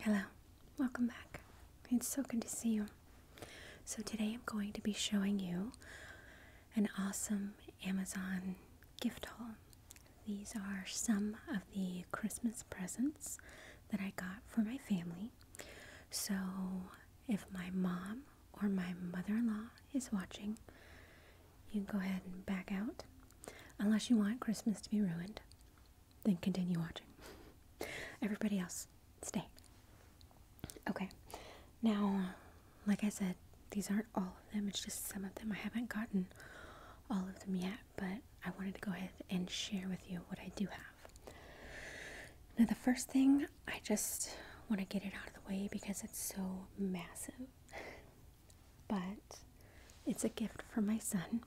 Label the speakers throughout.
Speaker 1: Hello, welcome back. It's so good to see you. So, today I'm going to be showing you an awesome Amazon gift haul. These are some of the Christmas presents that I got for my family. So, if my mom or my mother in law is watching, you can go ahead and back out. Unless you want Christmas to be ruined, then continue watching. Everybody else, stay. Okay, now, like I said, these aren't all of them, it's just some of them. I haven't gotten all of them yet, but I wanted to go ahead and share with you what I do have. Now, the first thing I just want to get it out of the way because it's so massive. But it's a gift from my son.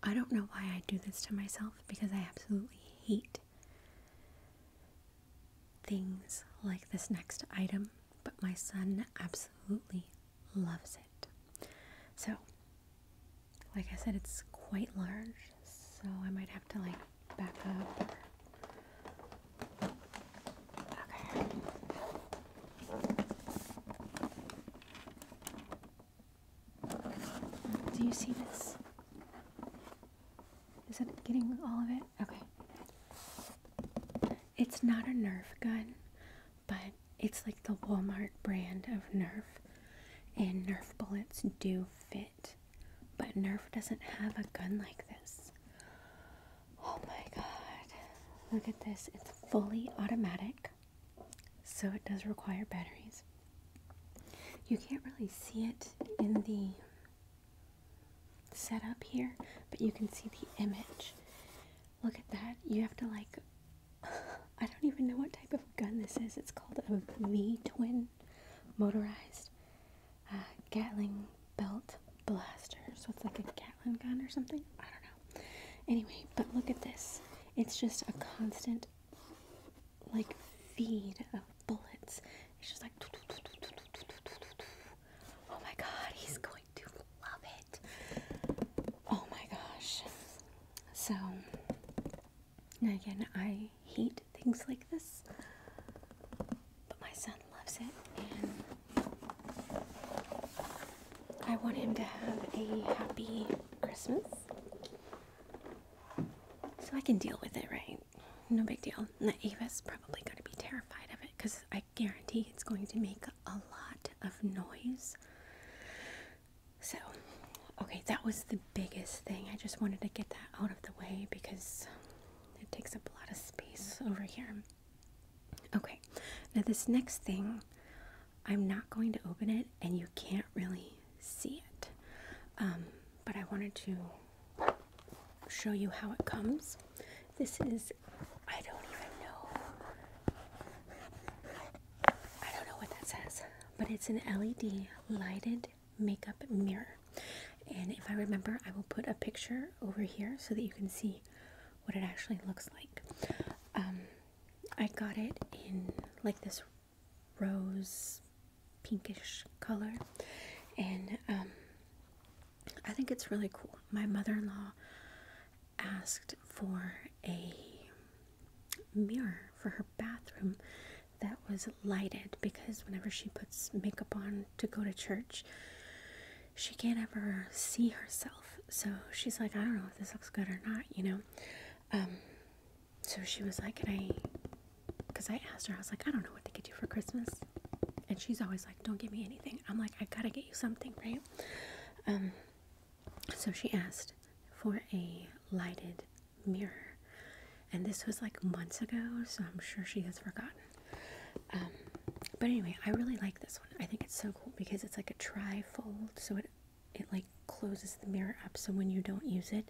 Speaker 1: I don't know why I do this to myself because I absolutely hate things like this next item, but my son absolutely loves it. So, like I said, it's quite large, so I might have to like back up. Okay. Do you see this? Is it getting all of it? Okay. It's not a Nerf gun, but it's like the Walmart brand of Nerf. And Nerf bullets do fit but Nerf doesn't have a gun like this. Oh my god. Look at this. It's fully automatic. So it does require batteries. You can't really see it in the setup here, but you can see the image. Look at that. You have to like I don't even know what type of gun this is. It's called a V-twin motorized uh, Gatling belt blasters. So it's like a Gatlin gun or something. I don't know. Anyway, but look at this. It's just a constant, like, feed of bullets. It's just like. Oh my god, he's going to love it. Oh my gosh. So, again, I hate things like this but my son loves it, and I want him to have a happy Christmas. So I can deal with it, right? No big deal. Now, Ava's probably going to be terrified of it because I guarantee it's going to make a lot of noise. So, okay, that was the biggest thing. I just wanted to get that out of the way because it takes up a lot of space over here. Okay, now this next thing, I'm not going to open it and you can't really see it. Um, but I wanted to show you how it comes. This is, I don't even know. I don't know what that says, but it's an LED lighted makeup mirror. And if I remember, I will put a picture over here so that you can see what it actually looks like. Um, I got it in like this rose pinkish color, and um, I think it's really cool. My mother in law asked for a mirror for her bathroom that was lighted because whenever she puts makeup on to go to church, she can't ever see herself. So she's like, I don't know if this looks good or not, you know? Um, so she was like, Can I? Because I asked her, I was like, I don't know what to get you for Christmas. And she's always like, Don't give me anything. I'm like, I gotta get you something, right? Um, so she asked for a lighted mirror and this was like months ago, so I'm sure she has forgotten. Um, but anyway, I really like this one. I think it's so cool because it's like a tri-fold, so it it like closes the mirror up. So when you don't use it,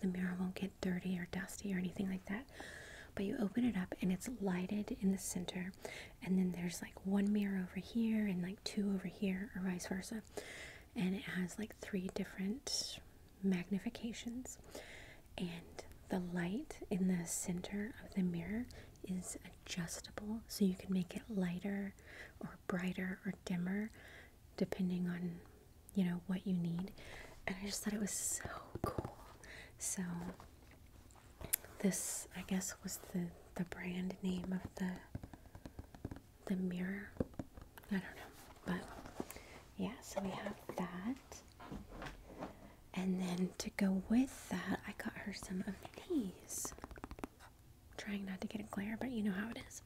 Speaker 1: the mirror won't get dirty or dusty or anything like that. But you open it up and it's lighted in the center, and then there's like one mirror over here and like two over here, or vice versa. And it has like three different magnifications, and the light in the center of the mirror is adjustable, so you can make it lighter or brighter or dimmer depending on you know what you need. And I just thought it was so cool. So this I guess was the the brand name of the the mirror. I don't know, but yeah, so we have that. And then to go with that, I got her some of these. trying not to get a glare, but you know how it is.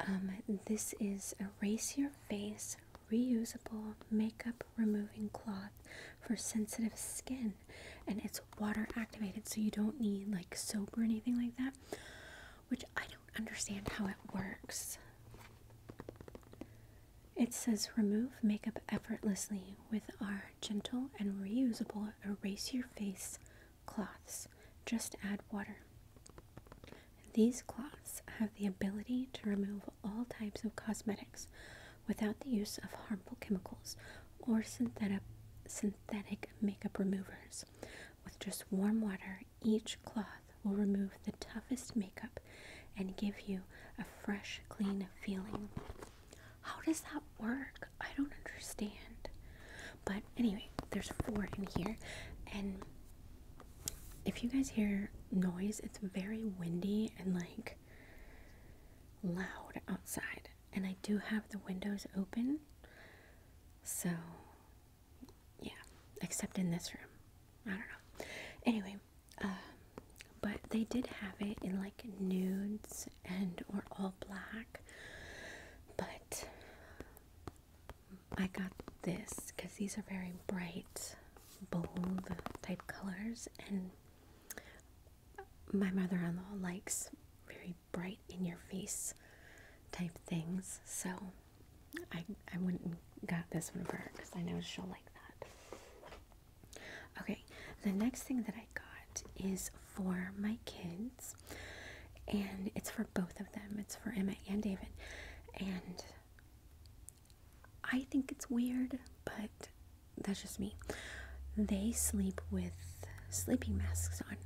Speaker 1: Um, this is Erase Your Face Reusable Makeup Removing Cloth for Sensitive Skin. And it's water activated, so you don't need like soap or anything like that, which I don't understand how it works. It says remove makeup effortlessly with our gentle and reusable erase your face cloths. Just add water. These cloths have the ability to remove all types of cosmetics without the use of harmful chemicals or synthetic, synthetic makeup removers. With just warm water, each cloth will remove the toughest makeup and give you a fresh, clean feeling. How does that work? I don't understand. But anyway, there's four in here, and if you guys hear noise, it's very windy and like loud outside. And I do have the windows open, so yeah, except in this room. I don't know. Anyway, um, but they did have it in like nudes and or all black. But I got this because these are very bright, bold type colors, and my mother-in-law likes very bright in your face type things. So I, I went and got this one for her because I know she'll like that. Okay, the next thing that I got is for my kids, and it's for both of them. It's for Emma and David, and I think it's weird, but that's just me. They sleep with sleeping masks on.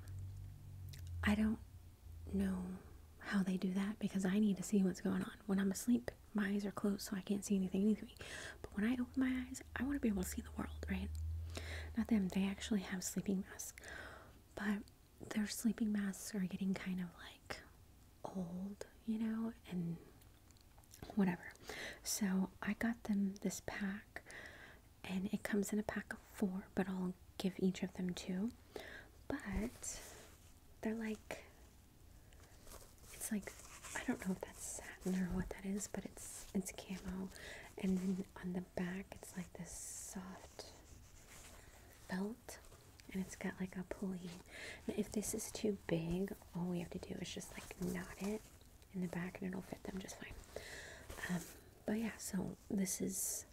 Speaker 1: I don't know how they do that because I need to see what's going on when I'm asleep my eyes are closed so I can't see anything anything. But when I open my eyes, I want to be able to see the world, right? Not them, they actually have sleeping masks. But their sleeping masks are getting kind of like old, you know, and whatever. So I got them this pack and it comes in a pack of four, but I'll give each of them two. But they're like it's like I don't know if that's satin or what that is, but it's it's camo, and then on the back it's like this soft felt, and it's got like a pulley. Now, if this is too big, all we have to do is just like knot it in the back, and it'll fit them just fine. Um, but yeah, so this is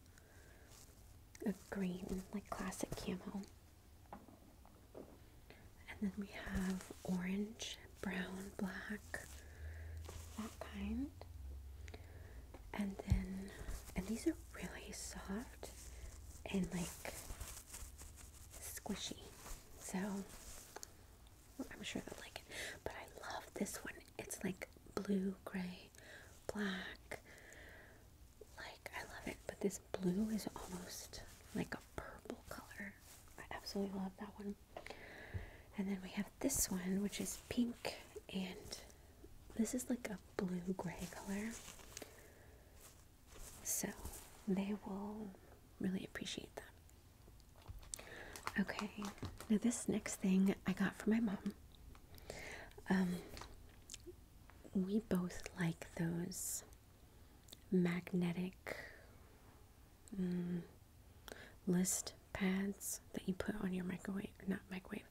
Speaker 1: a green, like classic camo. And then we have orange, brown, black, that kind. And then, and these are really soft and like squishy. So I'm sure they'll like it. But I love this one. It's like blue, gray, black. Like I love it. But this blue is almost like a purple color. I absolutely love that one. And then we have this one, which is pink, and this is like a blue gray color. So they will really appreciate that. Okay, now this next thing I got from my mom. Um, we both like those magnetic mm, list pads that you put on your microwave, not microwave,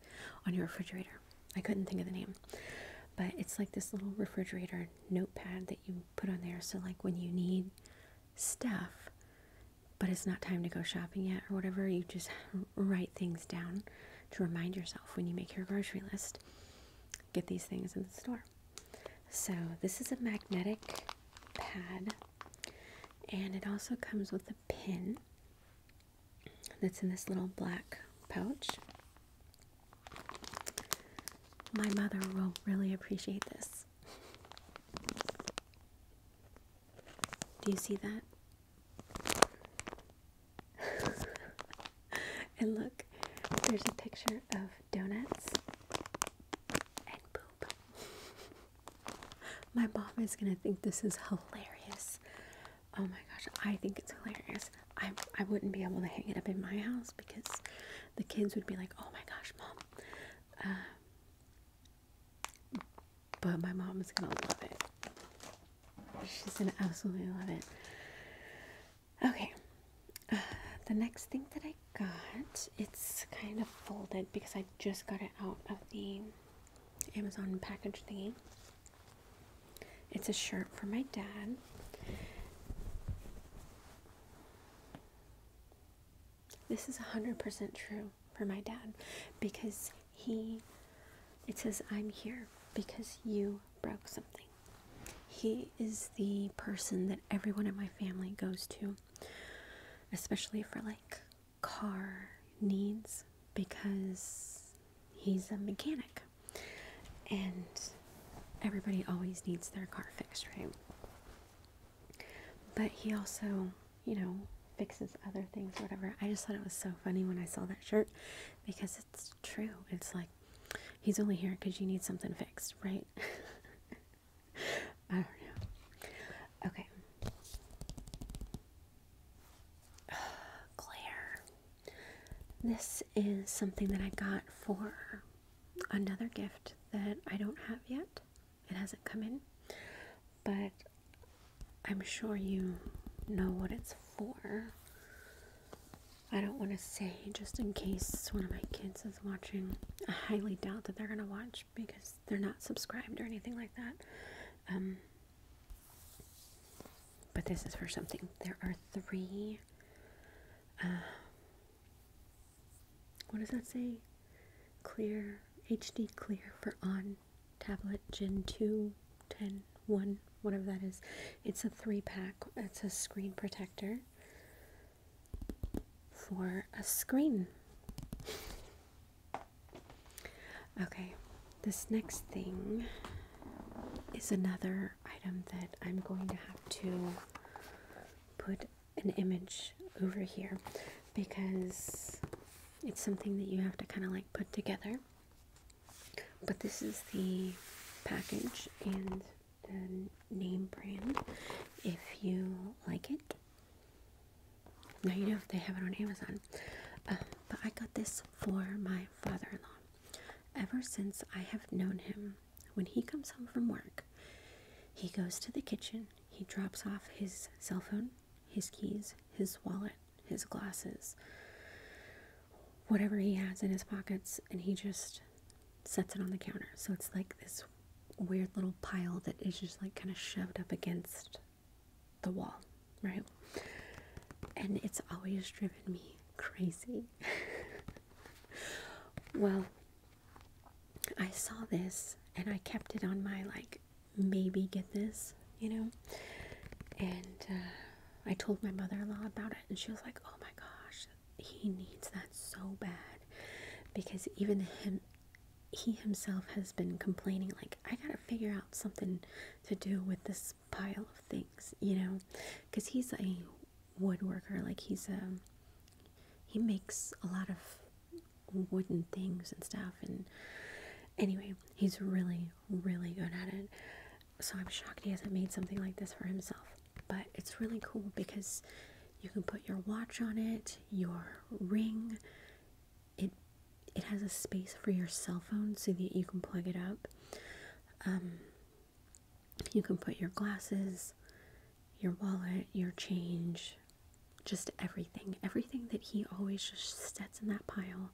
Speaker 1: on your refrigerator. I couldn't think of the name, but it's like this little refrigerator notepad that you put on there. So, like when you need stuff, but it's not time to go shopping yet or whatever, you just write things down to remind yourself when you make your grocery list get these things in the store. So, this is a magnetic pad, and it also comes with a pin that's in this little black pouch. My mother will really appreciate this. Do you see that? and look, there's a picture of donuts and poop. my mom is gonna think this is hilarious. Oh my gosh, I think it's hilarious. I, I wouldn't be able to hang it up in my house because the kids would be like, oh my gosh, mom. Um, but my mom is gonna love it. She's gonna absolutely love it. Okay, uh, the next thing that I got, it's kind of folded because I just got it out of the Amazon package thingy. It's a shirt for my dad. This is 100% true for my dad because he, it says, I'm here because you broke something. He is the person that everyone in my family goes to, especially for like car needs, because he's a mechanic and everybody always needs their car fixed, right? But he also, you know, fixes other things, whatever. I just thought it was so funny when I saw that shirt because it's true. It's like He's only here because you need something fixed, right? I don't know. Okay. Claire. This is something that I got for another gift that I don't have yet. It hasn't come in. But I'm sure you know what it's for. I don't want to say just in case one of my kids is watching. I highly doubt that they're going to watch because they're not subscribed or anything like that. Um, but this is for something. There are three. Um, what does that say? Clear, HD clear for on tablet Gen 2, 10, 1, whatever that is. It's a three pack it's a screen protector for a screen. Okay, this next thing is another item that I'm going to have to put an image over here because it's something that you have to kind of like put together. But this is the package and the name brand if you like it. Now you know if they have it on Amazon. Uh, but I got this for my father in law. Ever since I have known him, when he comes home from work, he goes to the kitchen, he drops off his cell phone, his keys, his wallet, his glasses, whatever he has in his pockets and he just sets it on the counter. So it's like this weird little pile that is just like kind of shoved up against the wall, right? And it's always driven me crazy. well, I saw this and I kept it on my like maybe get this, you know, and uh, I told my mother in law about it, and she was like, Oh my gosh, he needs that so bad because even him, he himself has been complaining, like, I gotta figure out something to do with this pile of things, you know, because he's a woodworker, like, he's a um, he makes a lot of wooden things and stuff and anyway he's really really good at it so I'm shocked he hasn't made something like this for himself. But it's really cool because you can put your watch on it, your ring. It it has a space for your cell phone so that you can plug it up. Um, you can put your glasses, your wallet, your change, just everything. Everything that he always just sets in that pile.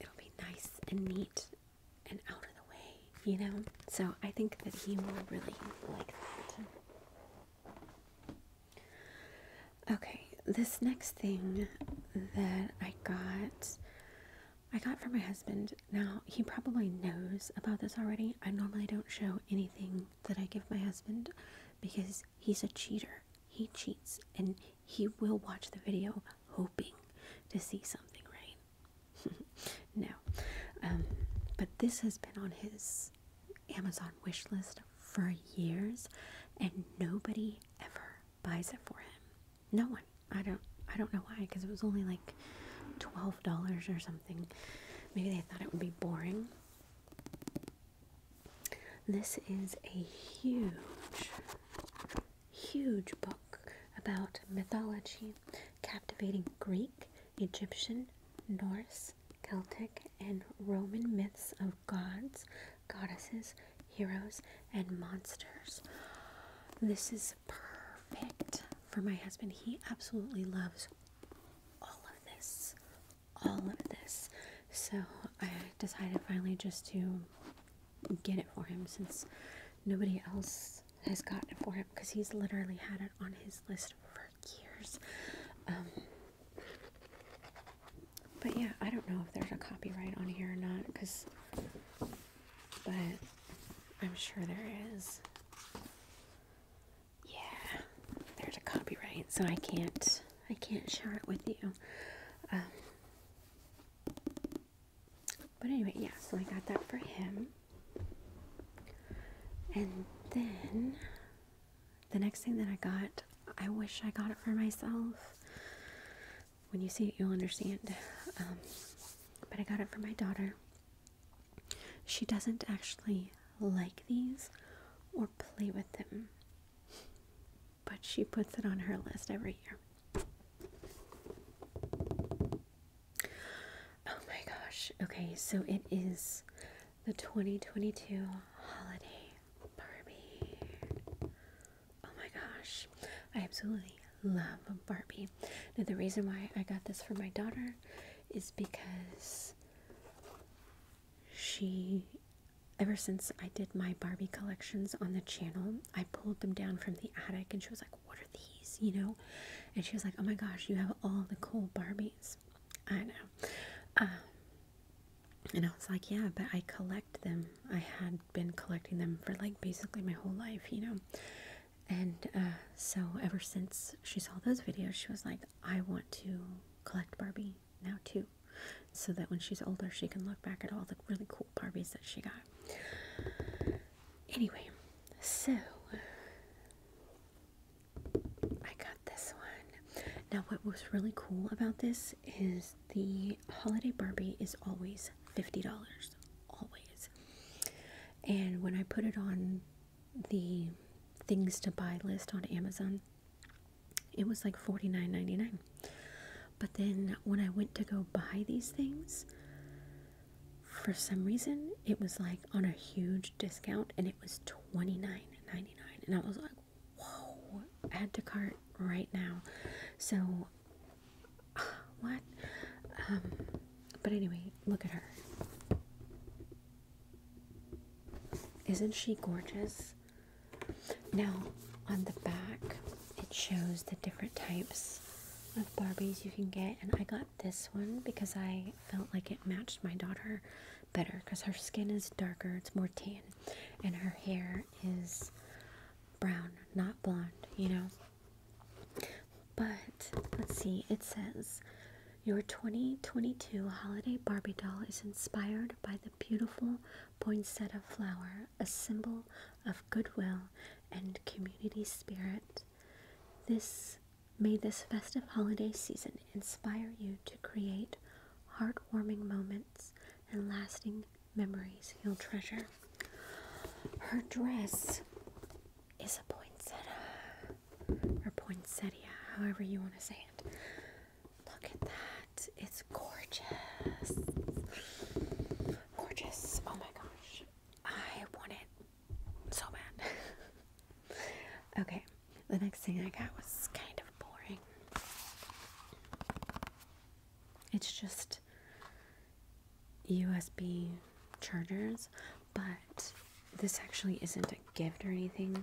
Speaker 1: It'll be nice and neat and out of the way, you know? So I think that he will really like that. Okay, this next thing that I got, I got from my husband. Now, he probably knows about this already. I normally don't show anything that I give my husband because he's a cheater. He cheats and he will watch the video hoping to see something, right? no. Um, but this has been on his Amazon wish list for years and nobody ever buys it for him. No one. I don't I don't know why because it was only like $12 or something. Maybe they thought it would be boring. This is a huge huge book about mythology, captivating Greek, Egyptian, Norse, Celtic, and Roman myths of gods, goddesses, heroes, and monsters. This is perfect for my husband. He absolutely loves all of this. All of this. So I decided finally just to get it for him since nobody else has gotten it for him because he's literally had it on his list for years. Um, but yeah, I don't know if there's a copyright on here or not because, but I'm sure there is. Yeah, there's a copyright, so I can't I can't share it with you. Um, but anyway, yeah, so I got that for him. And then the next thing that I got, I wish I got it for myself. When you see it, you'll understand. Um, but I got it for my daughter. She doesn't actually like these or play with them but she puts it on her list every year. Oh my gosh. Okay, so it is the 2022 holiday Barbie. Oh my gosh. I absolutely love Barbie. Now, the reason why I got this for my daughter is because she, ever since I did my Barbie collections on the channel, I pulled them down from the attic and she was like, What are these? You know? And she was like, Oh my gosh, you have all the cool Barbies. I know. Um, and I was like, Yeah, but I collect them. I had been collecting them for like basically my whole life, you know? And uh, so ever since she saw those videos, she was like, I want to collect Barbie now too so that when she's older she can look back at all the really cool Barbies that she got. Anyway, so I got this one. Now what was really cool about this is the holiday Barbie is always $50. Always. And when I put it on the things to buy list on Amazon, it was like $49.99. But then when I went to go buy these things, for some reason it was like on a huge discount and it was $29.99. And I was like, whoa, add to cart right now. So, what? Um, but anyway, look at her. Isn't she gorgeous? Now, on the back, it shows the different types of Barbies you can get, and I got this one because I felt like it matched my daughter better because her skin is darker, it's more tan, and her hair is brown, not blonde, you know. But let's see, it says your 2022 holiday Barbie doll is inspired by the beautiful poinsettia flower a symbol of goodwill and community spirit. This may this festive holiday season inspire you to create heartwarming moments and lasting memories you'll treasure. Her dress is a poinsettia or poinsettia, however you want to say it. Look at that it's gorgeous. Gorgeous. Oh my gosh. I want it so bad. okay, the next thing I got was kind of boring. It's just USB chargers, but this actually isn't a gift or anything.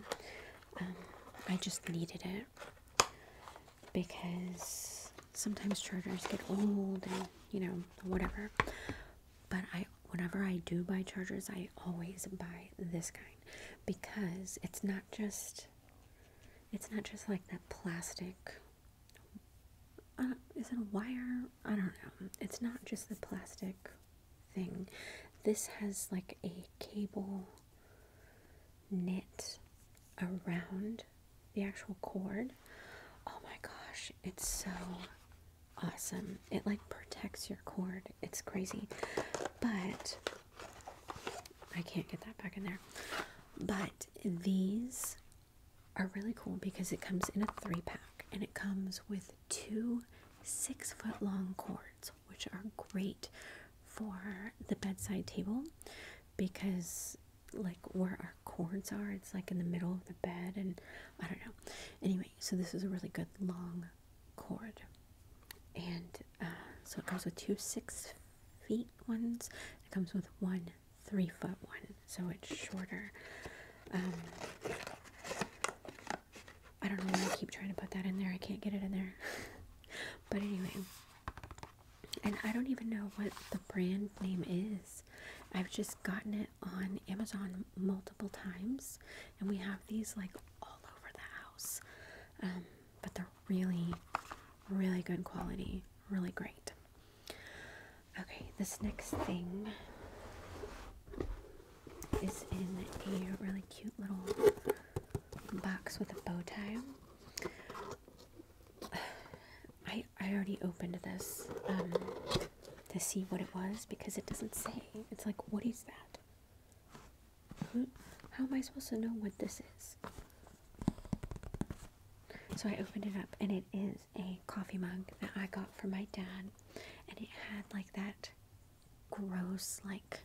Speaker 1: Um, I just needed it because sometimes chargers get old and you know whatever but i whenever i do buy chargers i always buy this kind because it's not just it's not just like that plastic uh, is it a wire i don't know it's not just the plastic thing this has like a cable knit around the actual cord. Oh my gosh, it's so awesome. It like protects your cord. It's crazy. But I can't get that back in there. But these are really cool because it comes in a three pack and it comes with two six foot long cords, which are great for the bedside table because like where our cords are. It's like in the middle of the bed, and I don't know. Anyway, so this is a really good long cord, and uh, so it comes with two six feet ones. It comes with one three foot one, so it's shorter. Um, I don't know why I keep trying to put that in there. I can't get it in there. but anyway, and I don't even know what the brand name is. I've just gotten it on Amazon multiple times, and we have these like all over the house. Um, but they're really, really good quality, really great. Okay, this next thing is in a really cute little box with a bow tie. I I already opened this um, to see what it was because it doesn't say. It's like, what is that? how am I supposed to know what this is? So I opened it up, and it is a coffee mug that I got from my dad, and it had like that gross, like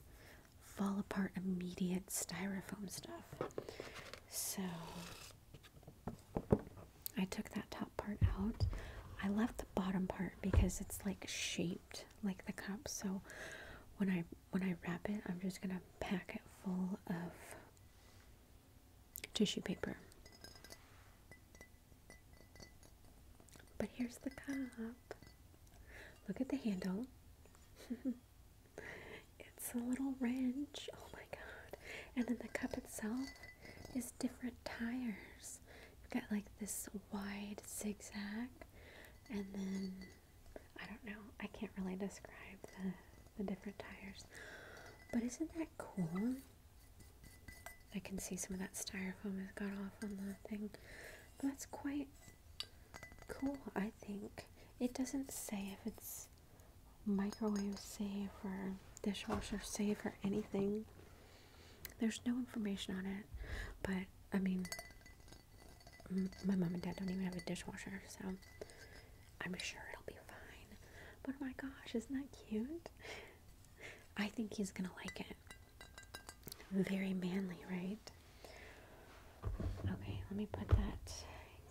Speaker 1: fall apart immediate styrofoam stuff. So I took that top part out. I left the bottom part because it's like shaped like the cup. So when I when I wrap it, I'm just gonna pack it full of tissue paper. But here's the cup. Look at the handle. It's a little wrench. Oh my god. And then the cup itself is different tires. You've got like this wide zigzag and then I don't know. I can't really describe the the different tires. But isn't that cool? I can see some of that styrofoam has got off on the thing. that's quite cool, I think. It doesn't say if it's microwave safe or dishwasher safe or anything. There's no information on it, but I mean, my mom and dad don't even have a dishwasher, so I'm sure it'll be fine. But oh my gosh, isn't that cute? I think he's gonna like it. Very manly, right? Okay, let me put that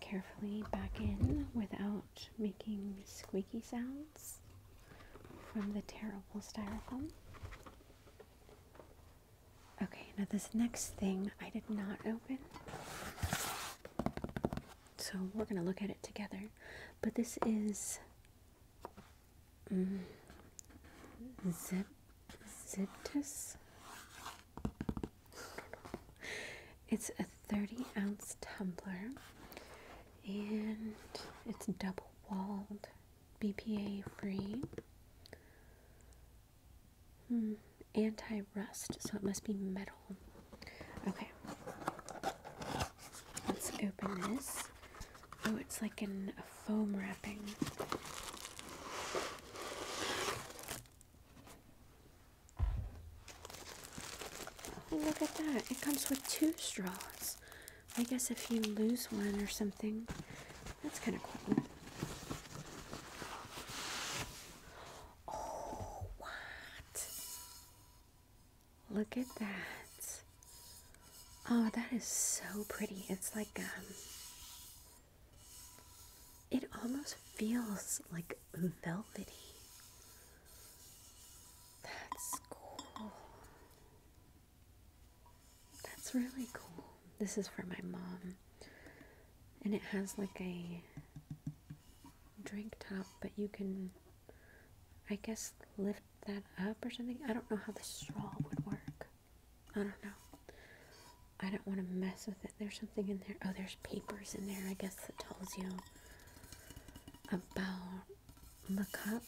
Speaker 1: carefully back in without making squeaky sounds from the terrible styrofoam. Okay, now this next thing I did not open. So we're going to look at it together. But this is mm, Zip, Ziptus it's a 30 ounce tumbler and it's double walled, BPA free, hmm, anti rust, so it must be metal. Okay, let's open this. Oh, it's like in a foam wrapping. Oh, look at that. It comes with two straws. I guess if you lose one or something, that's kind of cool. Oh, what? Look at that. Oh, that is so pretty. It's like, um, it almost feels like velvety. That's cool. That's really cool. This is for my mom. And it has like a drink top, but you can, I guess, lift that up or something. I don't know how the straw would work. I don't know. I don't want to mess with it. There's something in there. Oh, there's papers in there, I guess, that tells you about the cup.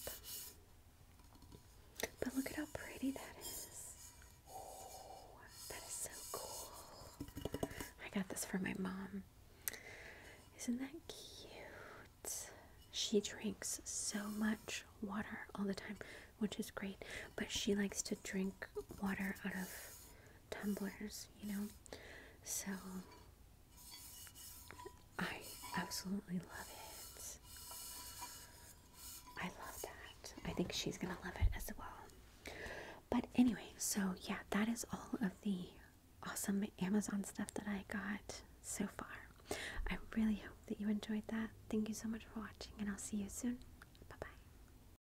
Speaker 1: But look at how pretty that is. that is so cool. I got this for my mom. Isn't that cute? She drinks so much water all the time, which is great. But she likes to drink water out of tumblers, you know. So I absolutely love it. I love that. I think she's gonna love it as well. But anyway, so yeah, that is all of the awesome Amazon stuff that I got so far. I really hope that you enjoyed that. Thank you so much for watching, and I'll see you soon. Bye bye.